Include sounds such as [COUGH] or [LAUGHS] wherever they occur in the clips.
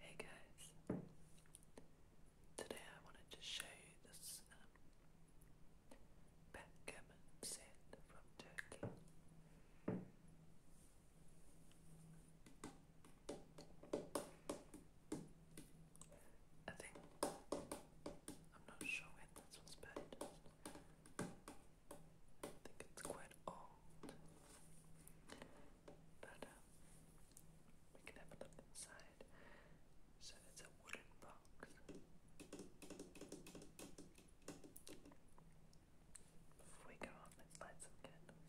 Hey guys, today I wanted to show you this um, set from Turkey. I think, I'm not sure when this was I think it's quite old. But um, we can have a look inside. So it's a wooden box. Before we go on, let's light some candles.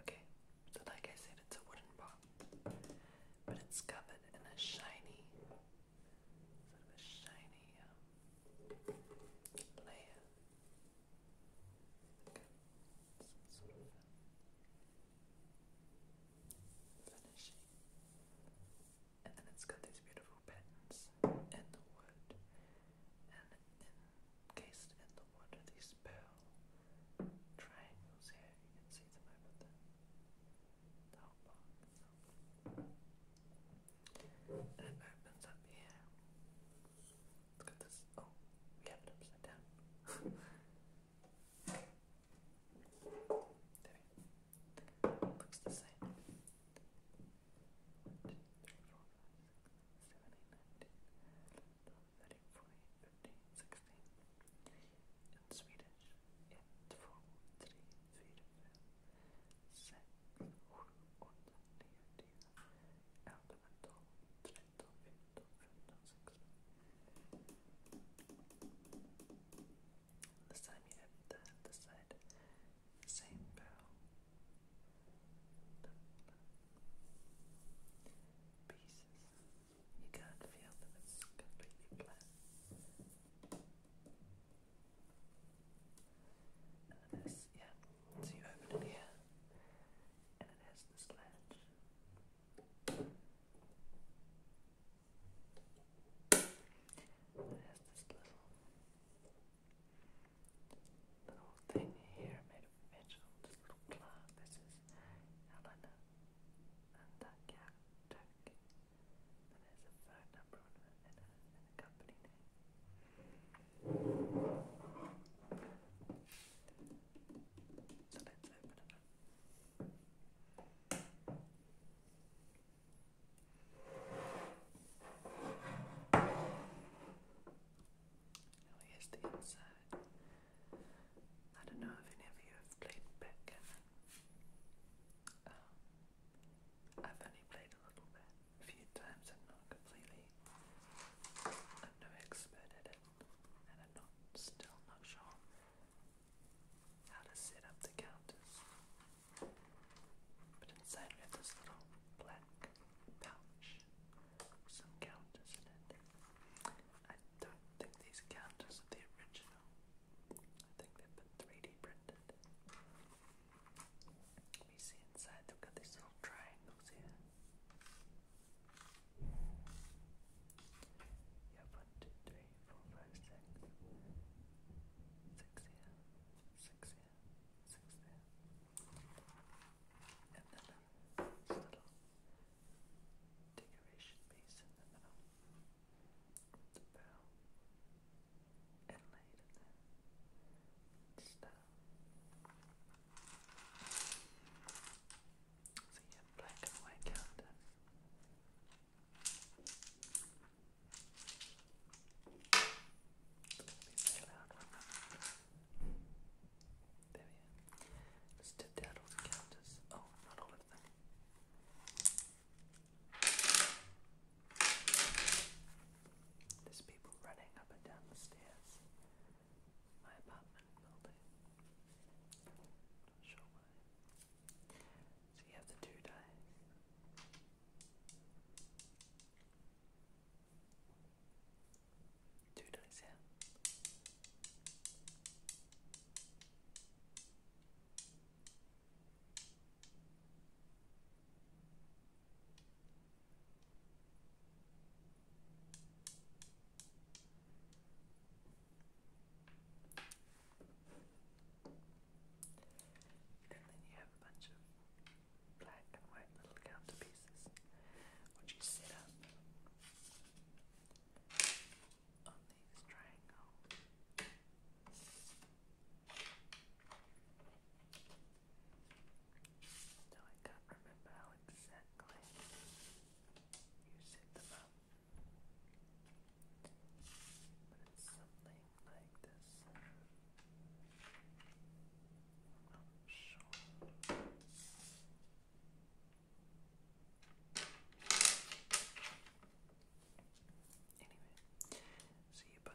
Okay, so like I said, it's a wooden pot, but it's covered in a shiny, sort of a shiny um, layer finishing. And then it's got these beautiful patterns in the wood. And encased in the wood are these pearl triangles here. You can see them over the, the whole And it opens up here. Look at this. Oh, we have it upside down. [LAUGHS] There. Looks the same. 1, In Swedish, ett, två, this time you have the the side same bow. Pieces. You can't feel them, it's completely flat. And it yeah, so you open it here, and it has this latch. There's this little little thing here made of metal, this little clock. This is Helena and that cat turkey. And there's a phone number and a, company name. So let's open it now here's the inside. I don't know if any of you have played backgammon. Um, I've only played a little bit, a few times. i not completely. I'm no expert at it, and I'm still not sure how to set up the counters. But inside we have this little black pouch with some counters in it. I don't think these counters are original. I think they've been 3D printed. We see inside they've got these little triangles here. You have four, five, six. Six here, six here, And then uh, little decoration piece in the middle. the pearl inlaid in there. Just, uh, so yeah, black and white calendar. It's loud There we are. Let's tip out all the calendars. Oh, not all of them. There's people running up and down the stairs my apartment building. Not sure why. So you have the two dice. Two dice, yeah. And then you have a bunch of black and white little counter which you set up on these triangles. Now I can't remember how exactly you set them up. Oh, but it's something like this. I'm not sure. Anyway, see, so but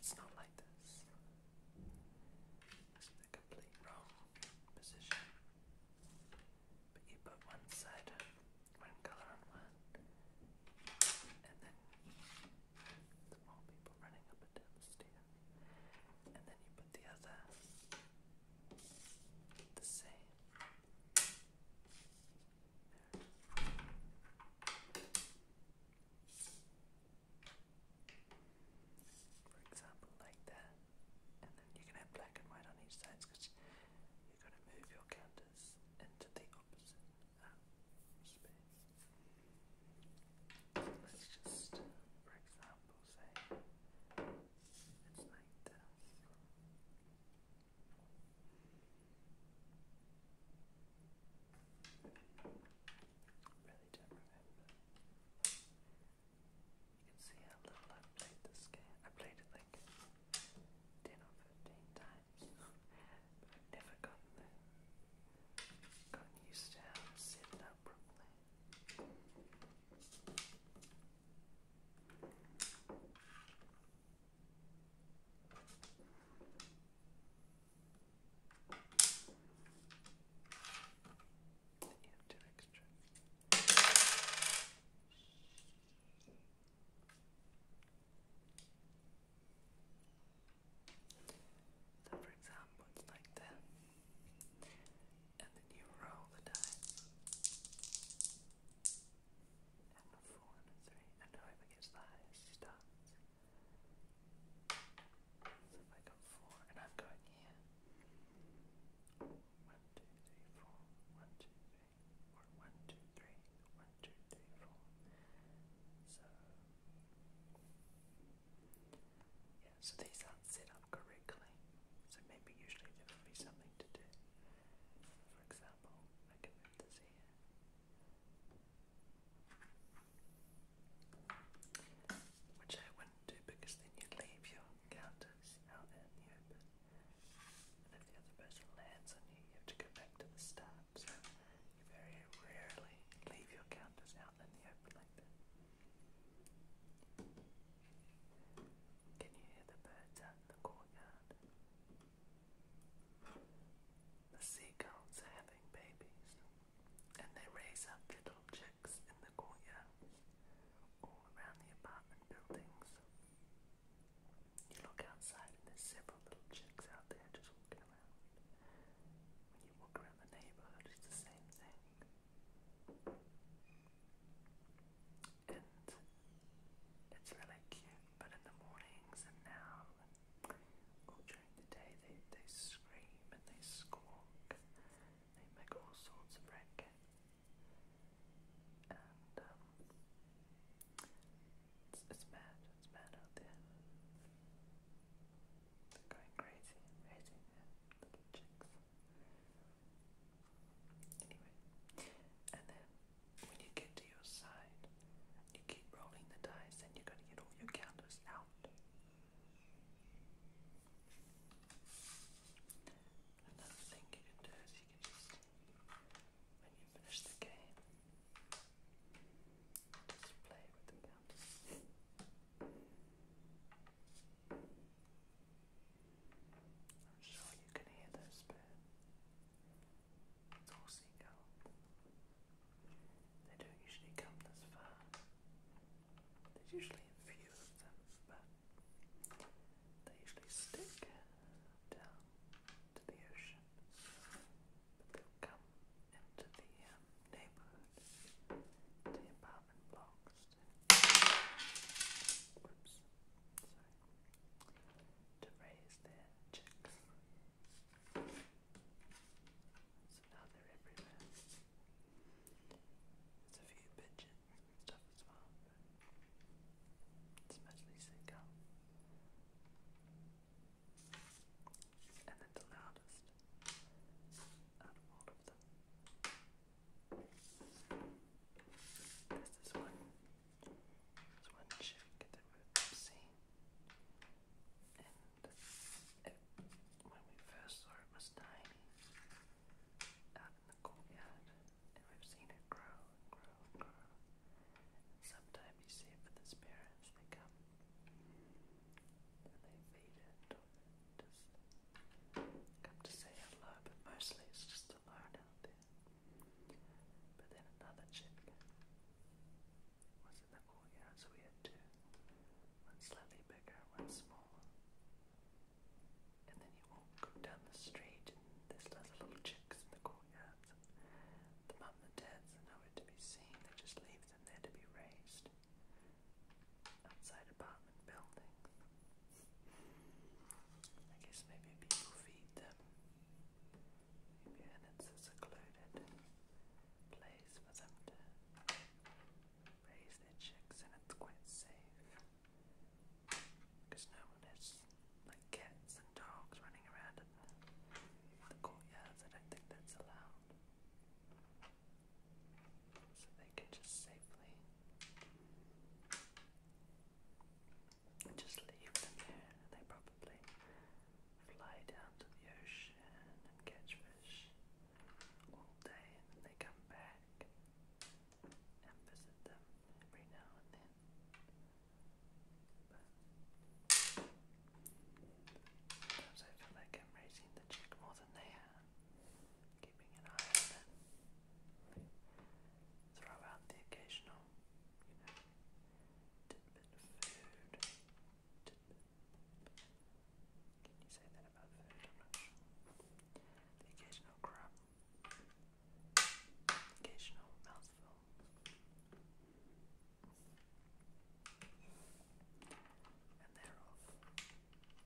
it's not like this the complete wrong position. But you put one side, one colour on one, and then the more people running up and down the And then you put the other the same for example like that and then you can have black and white on each side because you're going to move your counters into the opposite um, space. let's just, for example, say it's like this really You can see how little i played this game. I played it like 10 or 15 times, [LAUGHS] but I've never gotten the, gotten used to how to set and So, for example, it's like that, and then you roll the dice, and a four and a three, and whoever gets the highest starts. So if I got four, and I'm going here. One, two, three, four. One, two, three. one, two, three. One, two, three, four. So yeah, so these aren't set up correctly. So maybe usually there would be something to do. For example, I can move this here. Which I wouldn't do because then you leave your counters out in the open. And if the other person lands on you, you have to go back to the start. So you very rarely leave your counters out in the open like that. Can you hear the birds out in the courtyard? The seagulls having babies and they raise up little objects in the courtyard, all around the apartment buildings. You look outside and there's several little chicks out there just walking around. When you walk around the neighborhood, it's the same thing. And it's really cute, but in the mornings and now or during the day they, they scream and they squawk. They make all sorts of racket. And um, it's, it's It's mad out there. They're going crazy and little chicks. Anyway, and then when you get to your side, you keep rolling the dice, and you gotta get all your counters out. Another thing you can do is you can just, when you finish the game, just play with the counters. I'm sure you can hear those birds. It's all seagull. They don't usually come this far. There's usually a few of them, but they usually stick down to the ocean. But they come into the um, neighborhood, the apartment blocks. Oops, sorry. To raise their chicks. So now they're everywhere. There's a few pigeon stuff as well, but it's And then the loudest of all of them. There's this one. There's one chick that we've seen. And when we first saw it, was tiny out in the courtyard, and we've seen it grow grow grow. sometimes you see it with its parents, they come and they feed it, come to say hello, but mostly it's just alone out there. But then another chick was in the courtyard, so we had two. One slightly bigger, one smaller. And then you walk down the street and there's lots of little chicks in the courtyards. The mum and dads are nowhere to be seen, they just leave them there to be raised. Outside apartment buildings. I guess maybe people feed them. Maybe and it's a secluded place for them to raise their chicks and it's quite safe. Because no one has like cats and dogs running around in the, the courtyards. I don't think that's allowed. So they can just safely just leave them there. They probably fly down to the ocean and catch fish all day and they come back and visit them every now and then. But sometimes I feel like I'm raising the chick more than they are, keeping an eye on it. Throw out the occasional you Can you say that about food? The occasional crumb. Occasional mouthful. And they're off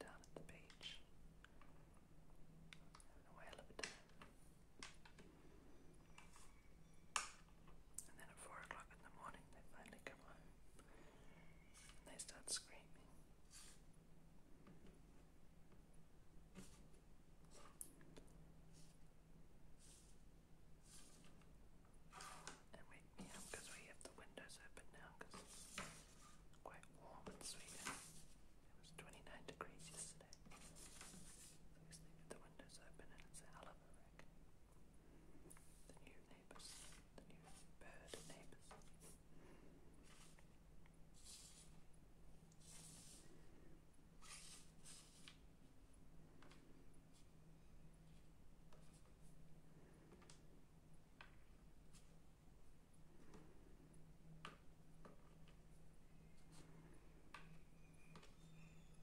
down at the beach. Having a whale of a time. And then at four o'clock in the morning, they finally come home they start screaming. And wake me because we have the windows open now because quite warm in Sweden. It was 29 degrees yesterday windows open and it's a hell of a wreck. The new neighbours, the new bird neighbours.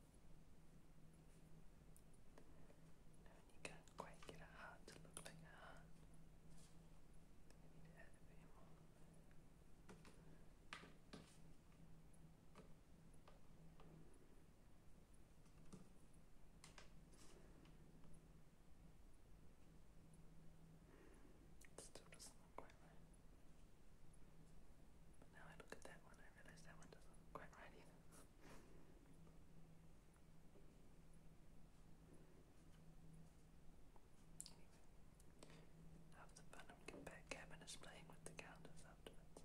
And you can't quite get a heart to look like a heart. need to add a bit more. still doesn't look quite right. now I look at that one, I realise that one doesn't quite right either. Have the Venom compare Kevin's playing with the counters afterwards.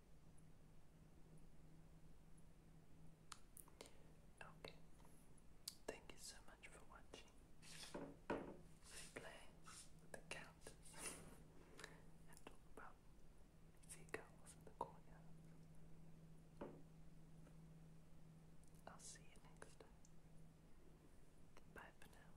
Okay. Thank you so much for watching. We play the cat and talk about seagulls in the courtyard. I'll see you next time. Bye for now.